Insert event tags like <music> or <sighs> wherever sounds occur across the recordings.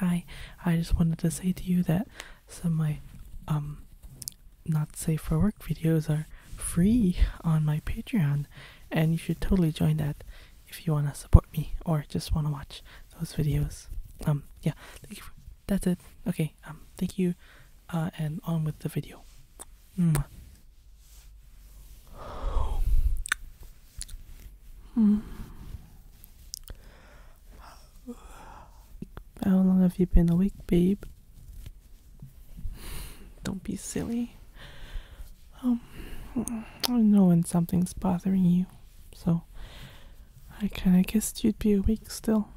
Hi, I just wanted to say to you that some of my um not safe for work videos are free on my Patreon and you should totally join that if you want to support me or just want to watch those videos. Um yeah, that's it. Okay. Um thank you uh and on with the video. Mwah. Hmm. How long have you been awake, babe? Don't be silly. Um, I know when something's bothering you, so I kinda guessed you'd be awake still.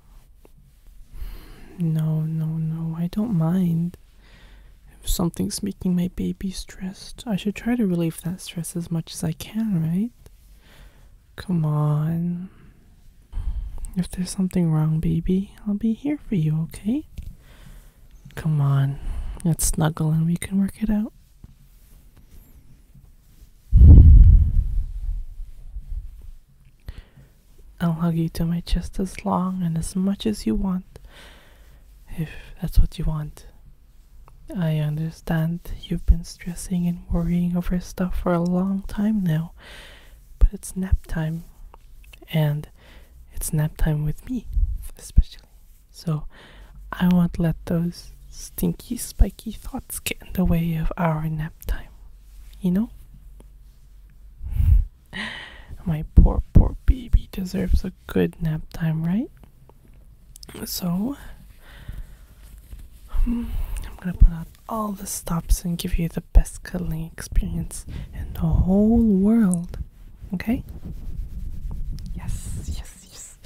No, no, no, I don't mind. If Something's making my baby stressed. I should try to relieve that stress as much as I can, right? Come on. If there's something wrong, baby, I'll be here for you, okay? Come on. Let's snuggle and we can work it out. I'll hug you to my chest as long and as much as you want if that's what you want. I understand you've been stressing and worrying over stuff for a long time now, but it's nap time. And it's nap time with me, especially. So I won't let those stinky, spiky thoughts get in the way of our nap time. You know? <laughs> My poor, poor baby deserves a good nap time, right? So, hmm, I'm gonna put out all the stops and give you the best cuddling experience in the whole world. Okay? Yes, yes, yes.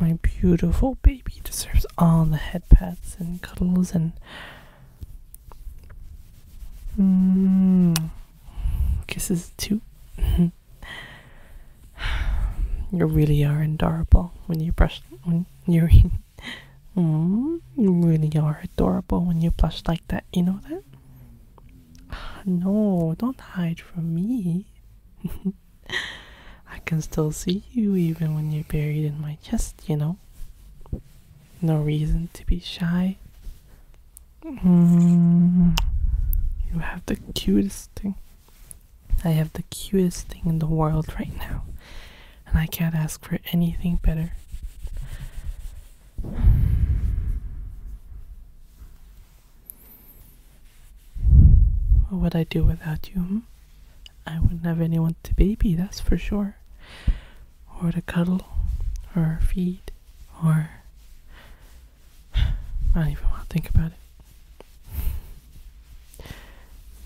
My beautiful baby deserves all the head and cuddles and. Mm. Kisses too. <laughs> you really are adorable when you blush. when you mm, you really are adorable when you blush like that, you know that? <sighs> No, don't hide from me. <laughs> I can still see you even when you're buried in my chest, you know no reason to be shy. Mm. you have the cutest thing. I have the cutest thing in the world right now, and I can't ask for anything better. What would I do without you? Hmm? I wouldn't have anyone to baby, that's for sure or to cuddle or feed or I don't even want to think about it.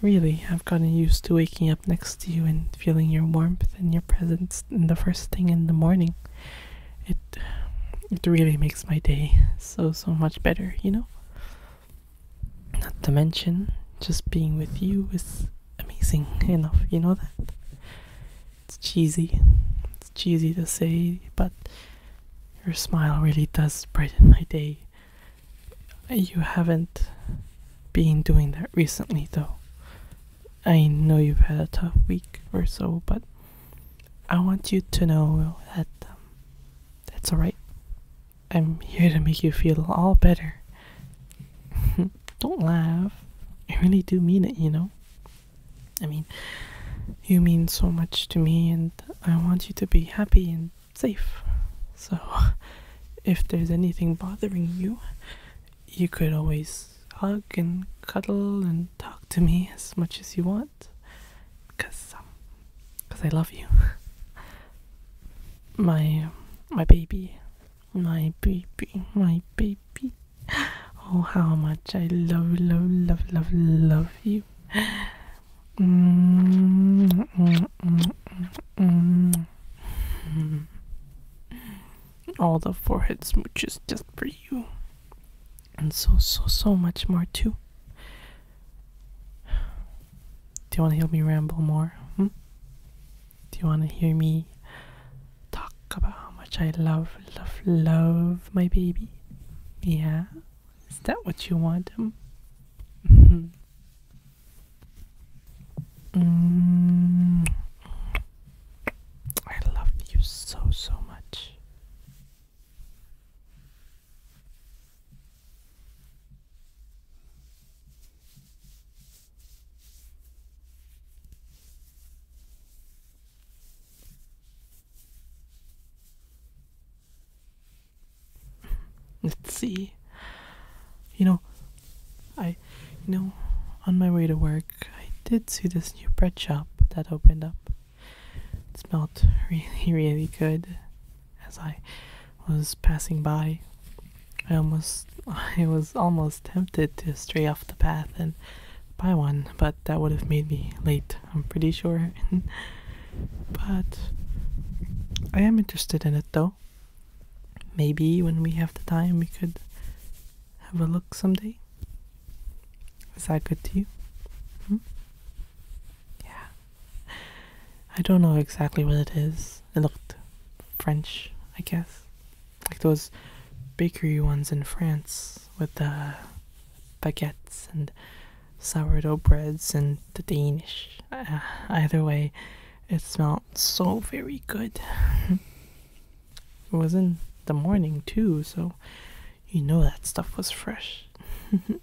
Really, I've gotten used to waking up next to you and feeling your warmth and your presence in the first thing in the morning. It it really makes my day so so much better, you know? Not to mention just being with you is amazing enough, you know that? It's cheesy. It's cheesy to say, but your smile really does brighten my day. You haven't been doing that recently, though. I know you've had a tough week or so, but I want you to know that um, that's alright. I'm here to make you feel all better. <laughs> don't laugh. I really do mean it, you know? I mean, you mean so much to me, and I want you to be happy and safe. So, <laughs> if there's anything bothering you, you could always hug and cuddle and talk to me as much as you want. Because um, cause I love you. <laughs> my, my baby, my baby, my baby. Oh, how much I love, love, love, love, love you. All the forehead smooches just for you. And so, so, so much more, too. Do you want to help me ramble more? Hmm? Do you want to hear me talk about how much I love, love, love my baby? Yeah? Is that what you want? hmm <laughs> Mm. I love you so, so much. Let's see. You know, I, you know, on my way to work, I did see this new bread shop that opened up. It smelled <laughs> really, really good as I was passing by. I almost <laughs> I was almost tempted to stray off the path and buy one, but that would have made me late, I'm pretty sure. <laughs> but I am interested in it though. Maybe when we have the time we could have a look someday. Is that good to you? Hmm? Yeah. <laughs> I don't know exactly what it is. It looked French, I guess. Like those bakery ones in France with the baguettes and sourdough breads and the Danish. Uh, either way, it smelled so very good. <laughs> it was in the morning too, so you know that stuff was fresh. <laughs>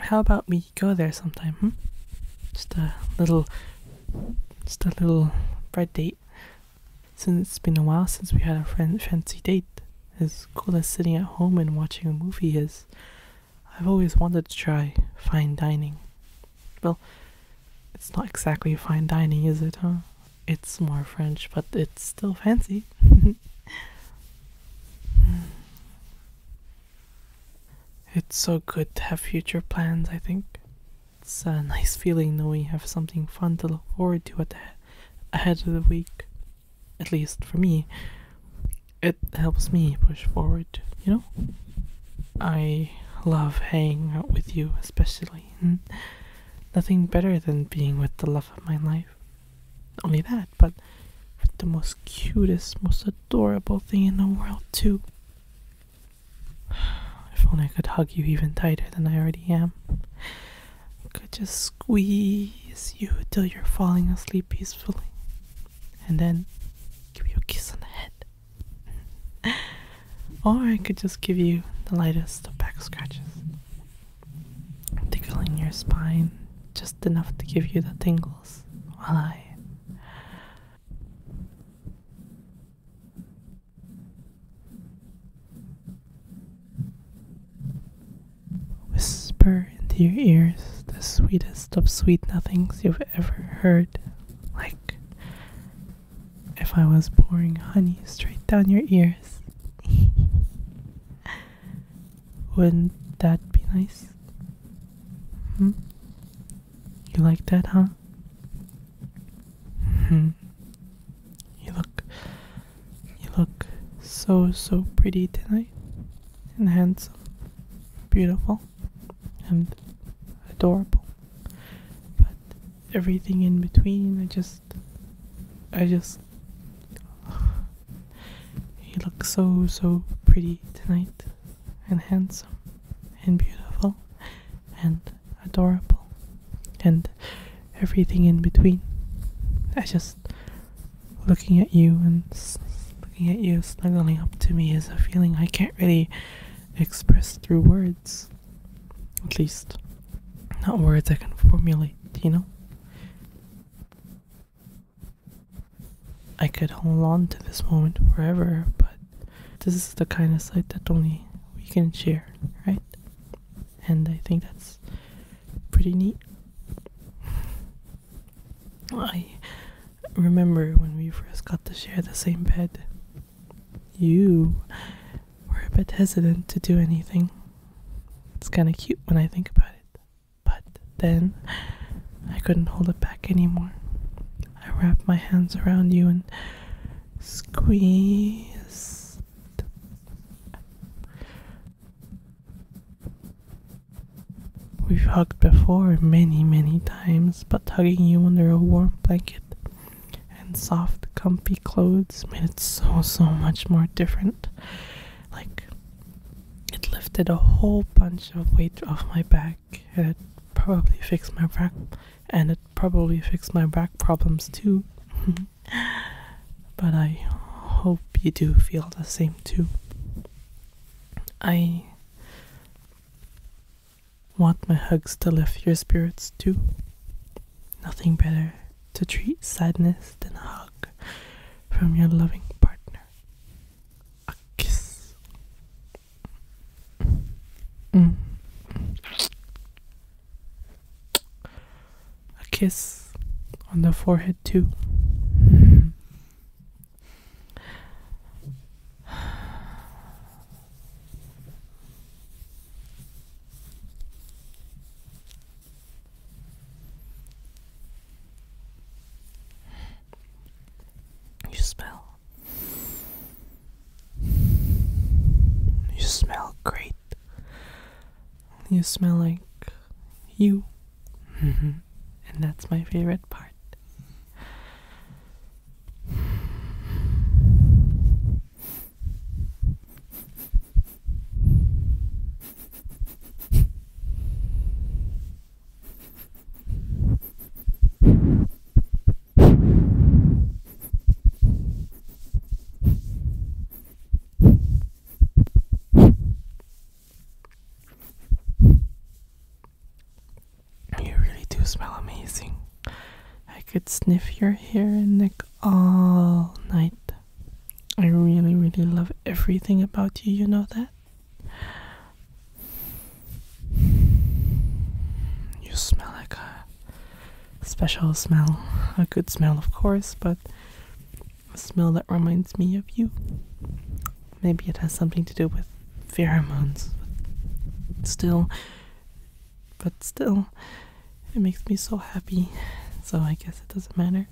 How about we go there sometime? Hmm? Just a little, just a little bread date. Since it's been a while since we had a fancy date. As cool as sitting at home and watching a movie is, I've always wanted to try fine dining. Well, it's not exactly fine dining, is it, huh? it's more French, but it's still fancy. <laughs> it's so good to have future plans, I think. It's a nice feeling knowing you have something fun to look forward to at the ahead of the week. At least for me, it helps me push forward, you know? I love hanging out with you, especially Nothing better than being with the love of my life. only that, but with the most cutest, most adorable thing in the world, too. <sighs> If only I could hug you even tighter than I already am. could just squeeze you till you're falling asleep peacefully. And then give you a kiss on the head. <laughs> Or I could just give you the lightest of back scratches, tickling your spine just enough to give you the tingles while I. Whisper into your ears the sweetest of sweet nothings you've ever heard, like if I was pouring honey straight down your ears. <laughs> Wouldn't that be nice? Hmm? You like that, huh? Hmm. You look you look so so pretty tonight and handsome, beautiful and adorable everything in between, I just, I just, <sighs> he looks so, so pretty tonight, and handsome, and beautiful, and adorable, and everything in between. I just, looking at you and looking at you snuggling up to me is a feeling I can't really express through words. At least, not words I can formulate, you know? I could hold on to this moment forever, but this is the kind of sight that only we can share, right? And I think that's pretty neat. <sighs> I remember when we first got to share the same bed you were a bit hesitant to do anything. It's kind of cute when I think about it. But then I couldn't hold it back anymore. I wrapped my hands around you and squeezed. We've hugged before many, many times, but hugging you under a warm blanket and soft, comfy clothes made it so, so much more different. Like, it lifted a whole bunch of weight off my back, it probably fixed my back, and it probably fixed my back problems too. <laughs> but I hope you do feel the same too. I Want my hugs to lift your spirits too? Nothing better to treat sadness than a hug from your loving partner. A kiss. Mm. A kiss on the forehead too. <sighs> You smell. You smell great. You smell like you. <laughs> Mm-hmm and that's my favorite part. You really do smell amazing. I could sniff your hair and neck all night. I really, really love everything about you, you know that? You smell like a special smell. A good smell, of course, but a smell that reminds me of you maybe it has something to do with pheromones. But still, but still, it makes me so happy. So I guess it doesn't matter.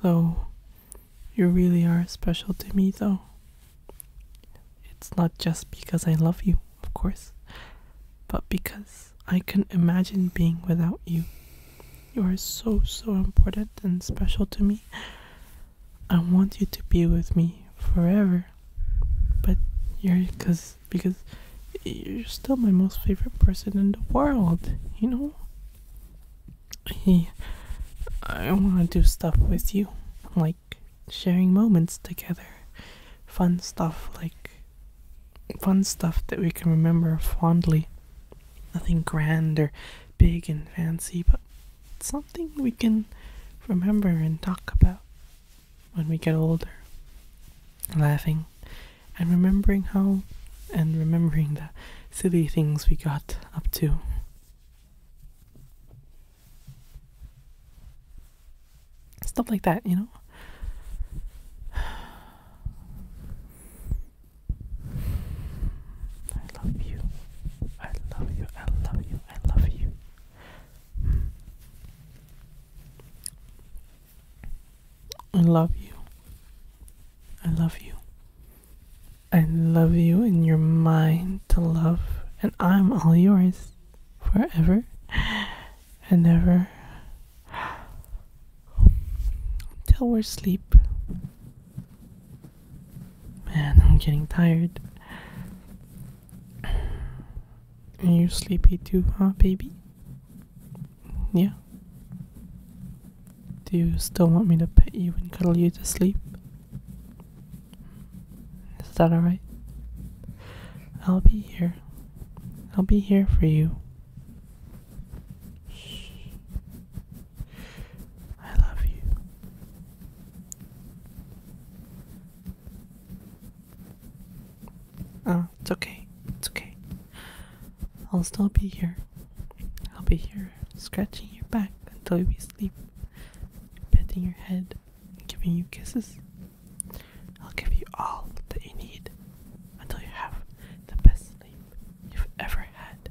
Though, you really are special to me, though. It's not just because I love you, of course, but because I can not imagine being without you. You are so, so important and special to me. I want you to be with me forever. But you're cause, you're still my most favorite person in the world, you know? He, I want to do stuff with you, like sharing moments together, fun stuff like fun stuff that we can remember fondly. Nothing grand or big and fancy, but something we can remember and talk about when we get older. Laughing and remembering how and remembering the silly things we got up to. Stuff like that, you know? I love you. I love you. I love you. I love you. I love you. I love you. I love you and you're mine to love, and I'm all yours forever and ever till we're asleep. Man, I'm getting tired. And you are sleepy too, huh, baby? Yeah. Do you still want me to pet you and cuddle you to sleep? Is that alright? I'll be here. I'll be here for you. Shh. I love you. Oh, it's okay. It's okay. I'll still be here. I'll be here shoulder, scratching your back until you sleep, petting your head, giving you kisses. I'll give you all that you need until you have the best sleep you've ever had.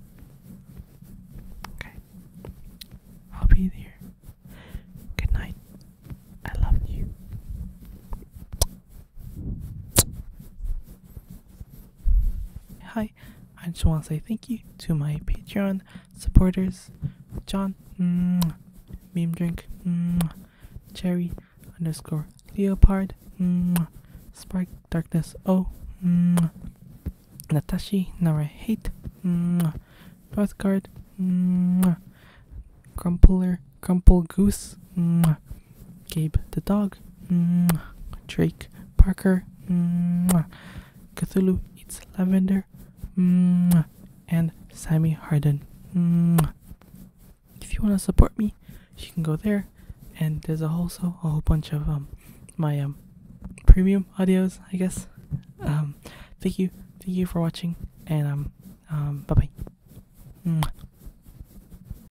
Okay. I'll be there. Good night. I love you. Hi, I just want to say thank you to my Patreon supporters John, mm, Meme Drink, mm, Cherry underscore Leopard, mm, Spark Darkness O, Natasha Nara Hate, mm, Northgard, mm, Crumpler, Crumple Goose, Gabe the dog. Drake Parker. Cthulhu eats lavender. And Sammy Harden. If you want to support me, you can go there. And there's also a whole bunch of um, my um, premium audios, I guess. Um, thank you, thank you for watching, and um, bye bye.